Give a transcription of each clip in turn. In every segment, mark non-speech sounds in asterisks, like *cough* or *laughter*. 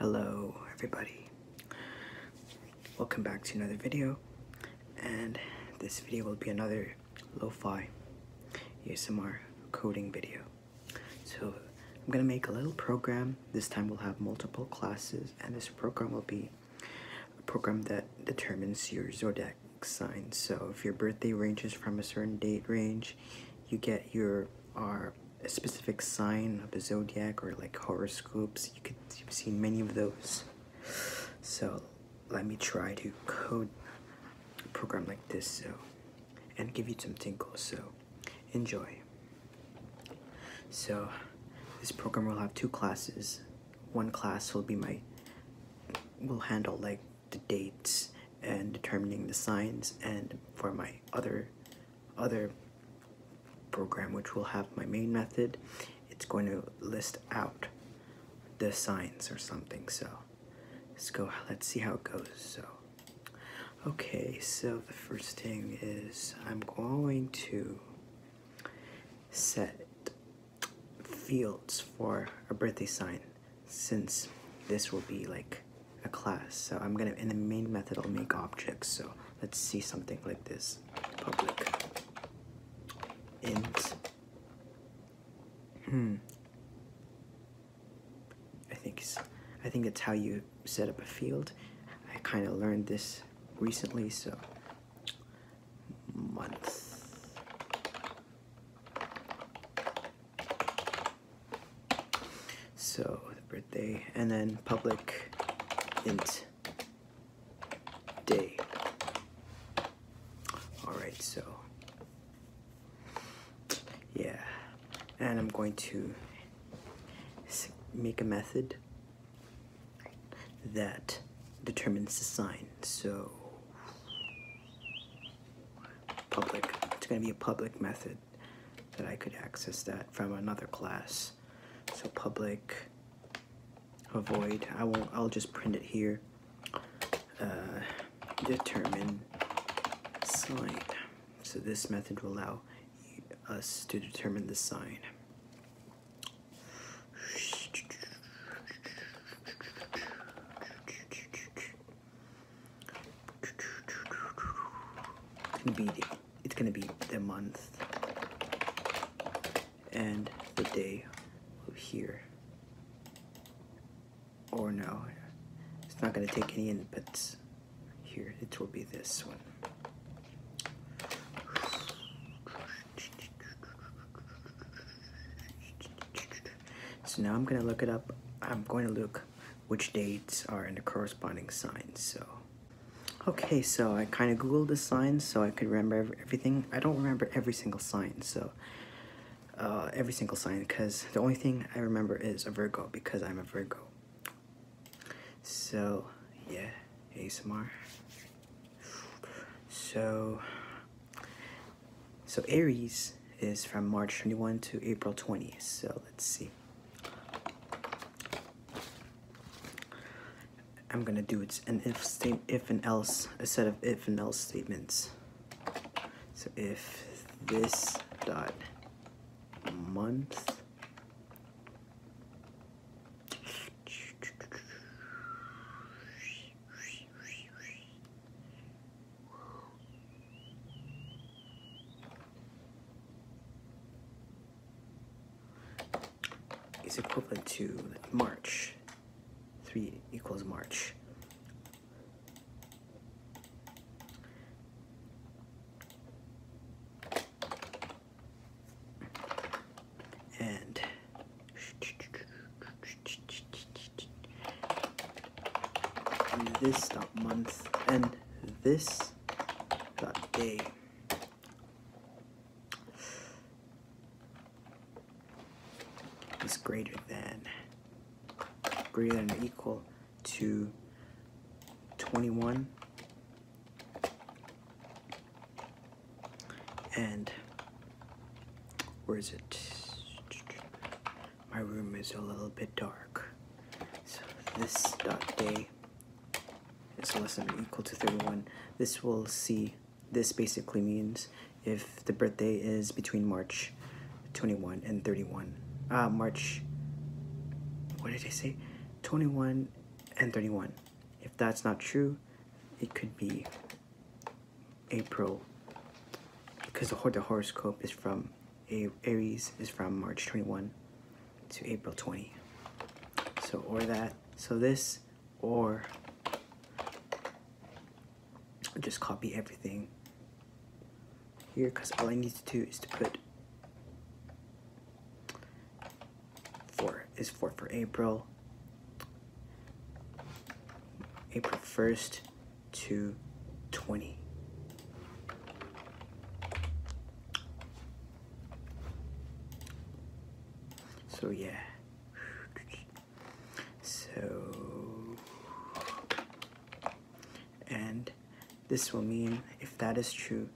Hello everybody. Welcome back to another video and this video will be another lo-fi ASMR coding video. So I'm gonna make a little program. This time we'll have multiple classes and this program will be a program that determines your zodiac sign. So if your birthday ranges from a certain date range, you get your our a specific sign of the zodiac or like horoscopes, you could see many of those. So let me try to code a program like this so and give you some tinkle. So enjoy. So this program will have two classes. One class will be my will handle like the dates and determining the signs and for my other other program which will have my main method it's going to list out the signs or something so let's go let's see how it goes so okay so the first thing is I'm going to set fields for a birthday sign since this will be like a class. So I'm gonna, in the main method, I'll make objects. So let's see something like this, public int, hmm, I think, I think that's how you set up a field. I kind of learned this recently, so month so the birthday, and then public int day. All right, so yeah, and I'm going to make a method that determines the sign. So public, it's gonna be a public method that I could access that from another class. So public, avoid, I won't, I'll just print it here. Uh, determine sign. So this method will allow us to determine the sign. It's gonna be the, month and the day of here. Or no, it's not gonna take any inputs. Here, it will be this one. So now I'm gonna look it up. I'm going to look which dates are in the corresponding signs. So, okay, so I kind of Googled the signs so I could remember everything. I don't remember every single sign, so uh, every single sign because the only thing I remember is a Virgo because I'm a Virgo. So, yeah, ASMR. So, so Aries is from March 21 to April 20. So let's see. I'm gonna do it's an if state if and else a set of if and else statements. So if this dot month is equivalent to March. 3 equals March. And this dot month and this dot day. is greater than greater than equal to 21 and where is it my room is a little bit dark. So this dot day is less than or equal to 31. This will see, this basically means if the birthday is between March 21 and 31. Uh, March, what did I say? 21 and 31. If that's not true, it could be April because the horoscope is from Aries is from March 21 to April 20. So, or that. So this, or just copy everything here because all I need to do is to put four is four for April. April 1st to 20. So yeah. So, and this will mean, if that is true,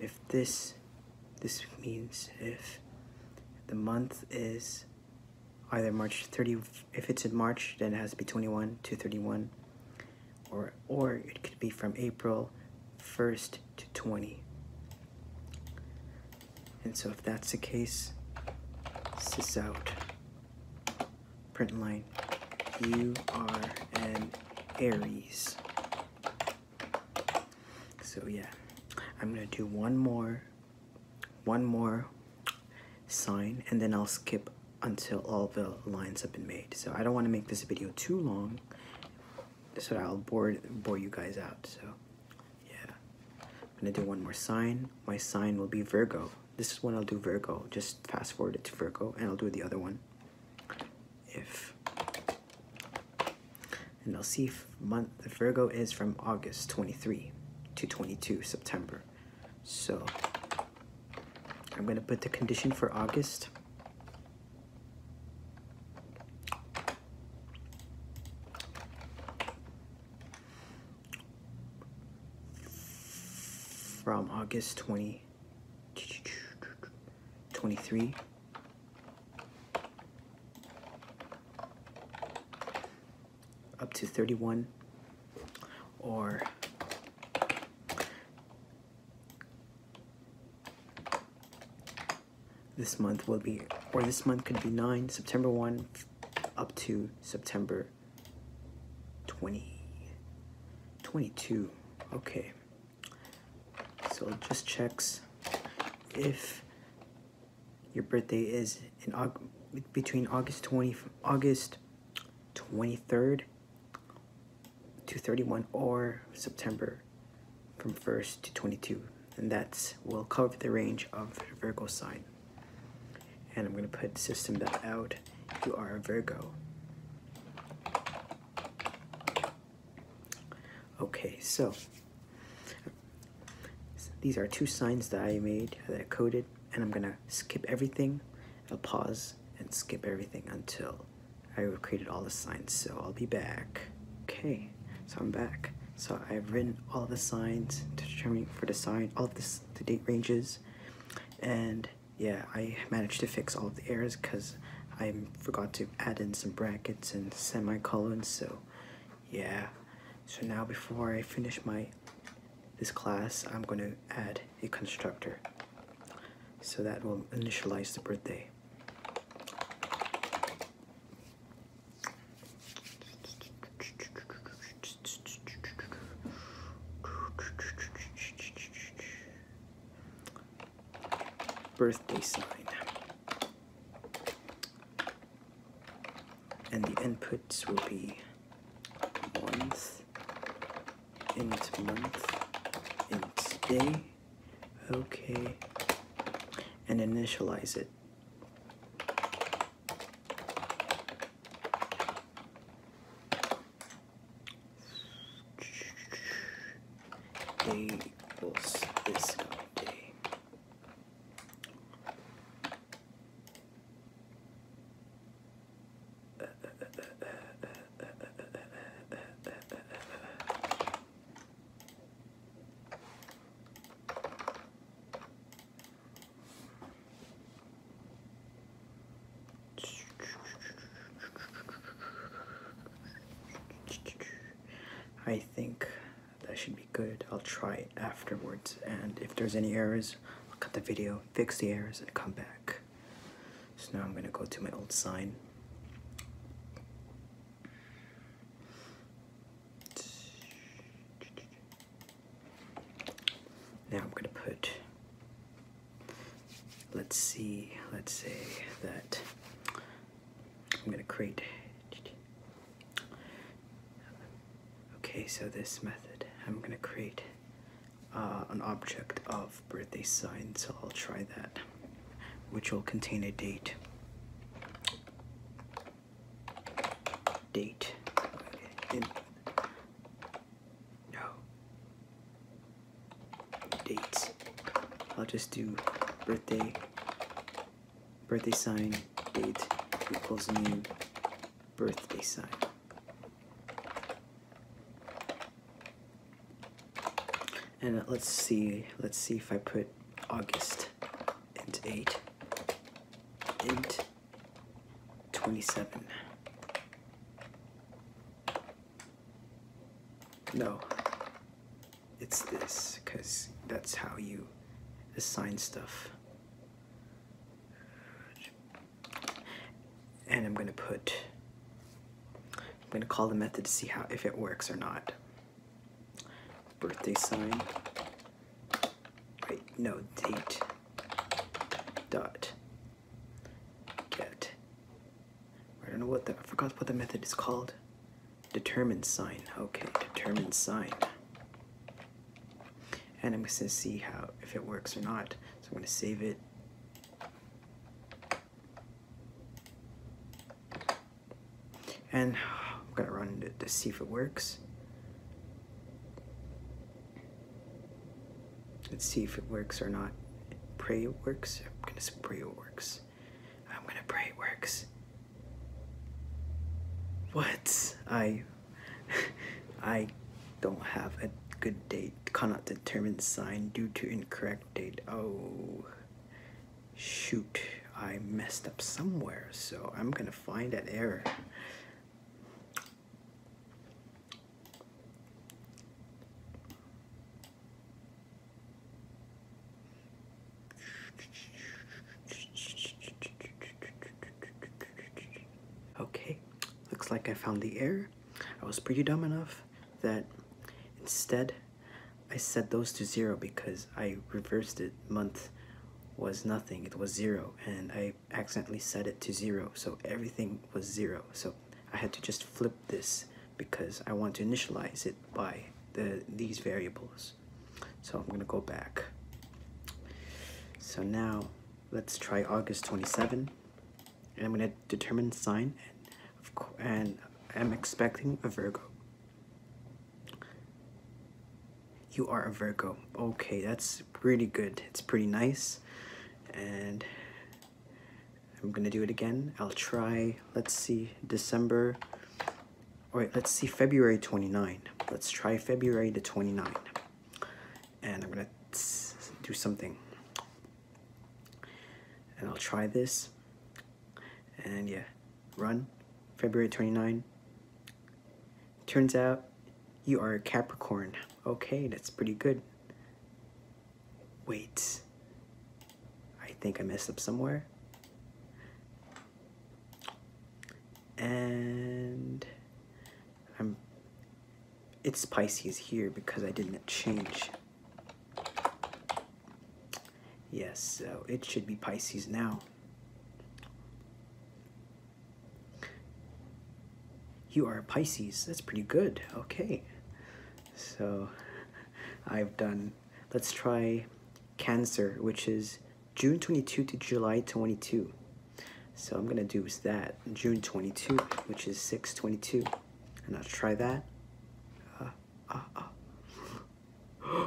if this, this means if the month is either March 30, if it's in March, then it has to be 21 to 31, or, or it could be from April 1st to 20. And so if that's the case, sys out, print line, you are an Aries. So yeah, I'm gonna do one more one more sign and then I'll skip until all the lines have been made. So I don't want to make this video too long so I'll bore, bore you guys out. So yeah, I'm gonna do one more sign. My sign will be Virgo. This is when I'll do Virgo. Just fast forward it to Virgo and I'll do the other one. If and I'll see if month Virgo is from August 23 to 22 September. So I'm gonna put the condition for August. From August twenty, twenty-three up to 31 or this month will be or this month could be 9 September 1 up to September twenty, twenty-two. okay so it just checks if your birthday is in between August 20 August 23rd to 31 or September from 1st to 22 and that will cover the range of Virgo sign and I'm gonna put system that out you are a Virgo okay so these are two signs that I made uh, that I coded and I'm gonna skip everything. I'll pause and skip everything until I have created all the signs. So I'll be back. Okay, so I'm back. So I've written all the signs to for the sign, all of this, the date ranges, and yeah, I managed to fix all of the errors because I forgot to add in some brackets and semicolons, so yeah. So now before I finish my this class, I'm going to add a constructor. So that will initialize the birthday. Birthday sign and the inputs will be month, int month, int day, okay, and initialize it. Day equals this guy day. I think that should be good. I'll try it afterwards, and if there's any errors, I'll cut the video, fix the errors, and come back. So now I'm gonna go to my old sign. Now I'm gonna put, let's see, let's say that I'm gonna create Okay, so this method, I'm going to create uh, an object of birthday sign, so I'll try that, which will contain a date. Date. no. Dates. I'll just do birthday birthday sign date equals new birthday sign. And let's see, let's see if I put August and 8, int 27. No, it's this, because that's how you assign stuff and I'm gonna put, I'm gonna call the method to see how if it works or not. Birthday sign, wait, no, date, dot, get. I don't know what the, I forgot what the method is called. Determined sign. Okay, determined sign. And I'm going to see how if it works or not. So I'm going to save it. And I'm going to run it to see if it works. Let's see if it works or not. Pray it works. I'm going to pray it works. I'm going to pray it works. What? I... *laughs* I don't have a good date. Cannot determine sign due to incorrect date. Oh... Shoot. I messed up somewhere, so I'm gonna find that error. Okay, looks like I found the error. I was pretty dumb enough that instead I set those to zero because I reversed it. Month was nothing, it was zero, and I accidentally set it to zero, so everything was zero. So I had to just flip this because I want to initialize it by the these variables. So I'm gonna go back. So now let's try August 27 and I'm gonna determine sign and I'm expecting a Virgo. You are a Virgo. Okay, that's pretty good. It's pretty nice. And I'm gonna do it again. I'll try, let's see, December all right, let's see February 29. Let's try February the 29. And I'm gonna do something. And I'll try this. And yeah, run, February 29. Turns out you are a Capricorn. Okay, that's pretty good. Wait, I think I messed up somewhere and I'm it's Pisces here because I didn't change yes so it should be Pisces now you are Pisces that's pretty good okay so *laughs* I've done let's try Cancer, which is June 22 to July 22. So I'm gonna do is that, June 22, which is 622. And I'll try that. Uh, uh, uh.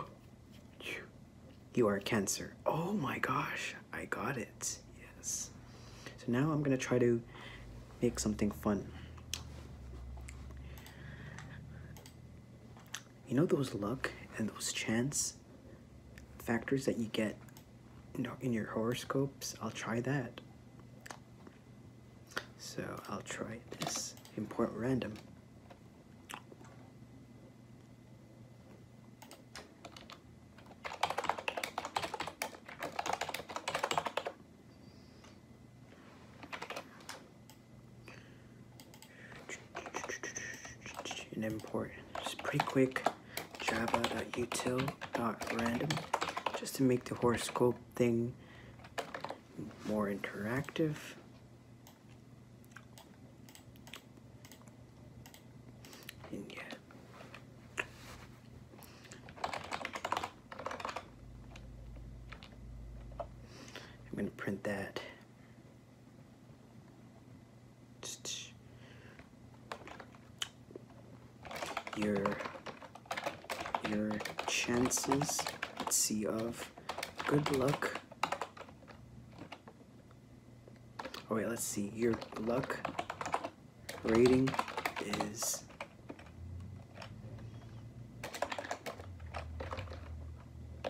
*gasps* you are Cancer. Oh my gosh, I got it, yes. So now I'm gonna try to make something fun you know those luck and those chance factors that you get in, in your horoscopes? I'll try that. So I'll try this import random and import. It's pretty quick. Java.util.random just to make the horoscope thing more interactive. And yeah. I'm going to print that your your chances let's see of good luck oh wait let's see your luck rating is uh,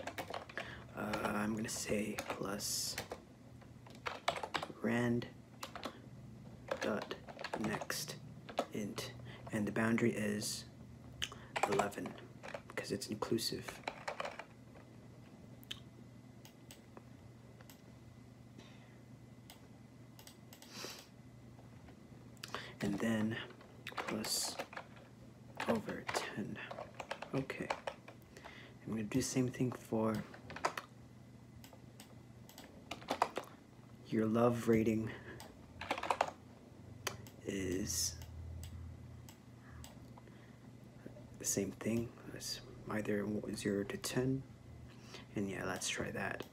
I'm gonna say plus rand dot next int and the boundary is 11 because it's inclusive and then plus over 10. Okay. I'm going to do the same thing for your love rating is the same thing. It's either 0 to 10. And yeah, let's try that.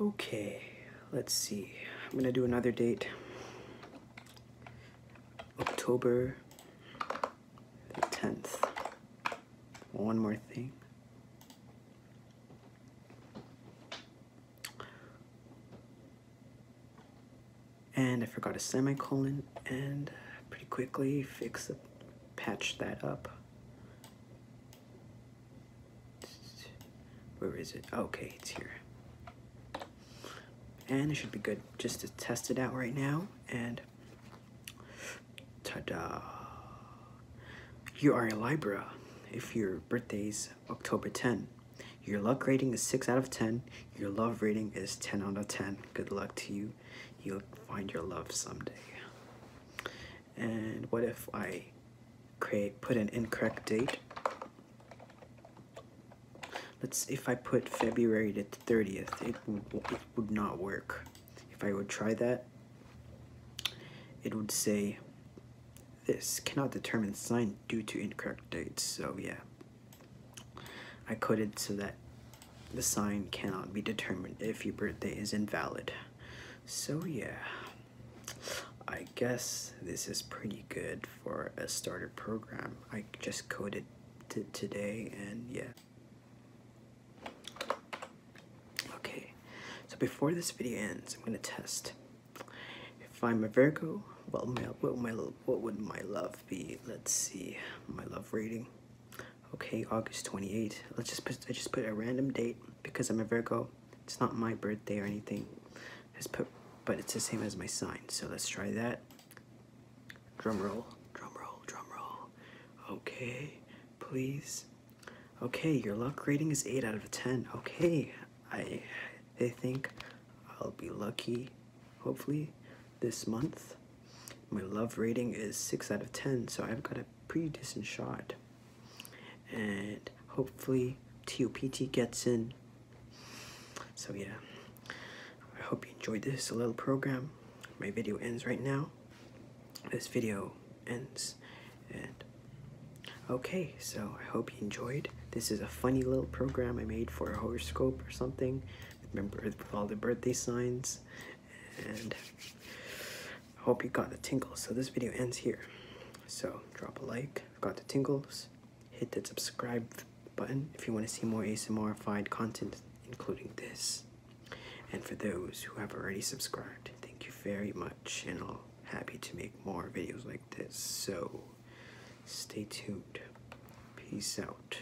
Okay, let's see. I'm going to do another date. October the 10th. One more thing. And I forgot a semicolon and pretty quickly fix it, patch that up. Where is it? Okay, it's here. And it should be good just to test it out right now. And ta-da! You are a Libra if your birthday is October 10. Your luck rating is 6 out of 10. Your love rating is 10 out of 10. Good luck to you you'll find your love someday. And what if I create put an incorrect date? Let's if I put February the 30th, it, it would not work. If I would try that, it would say this cannot determine sign due to incorrect dates. So yeah, I coded so that the sign cannot be determined if your birthday is invalid. So yeah, I guess this is pretty good for a starter program. I just coded it today and yeah. Okay, so before this video ends, I'm gonna test. If I'm a Virgo, well, my, what, my, what would my love be? Let's see, my love rating okay, August 28th. Let's just put, I just put a random date because I'm a Virgo. It's not my birthday or anything. Just put, but it's the same as my sign. So let's try that. Drum roll, drum roll, drum roll. Okay, please. Okay, your luck rating is 8 out of 10. Okay, I, I think I'll be lucky, hopefully, this month. My love rating is 6 out of 10, so I've got a pretty decent shot. And hopefully, TOPT gets in. So, yeah, I hope you enjoyed this little program. My video ends right now. This video ends. And okay, so I hope you enjoyed. This is a funny little program I made for a horoscope or something. Remember, all the birthday signs and I hope you got the tingle. So this video ends here. So drop a like, got the tingles, hit the subscribe button if you want to see more ASMRified content, including this. And for those who have already subscribed, thank you very much, and I'll happy to make more videos like this. So stay tuned. Peace out.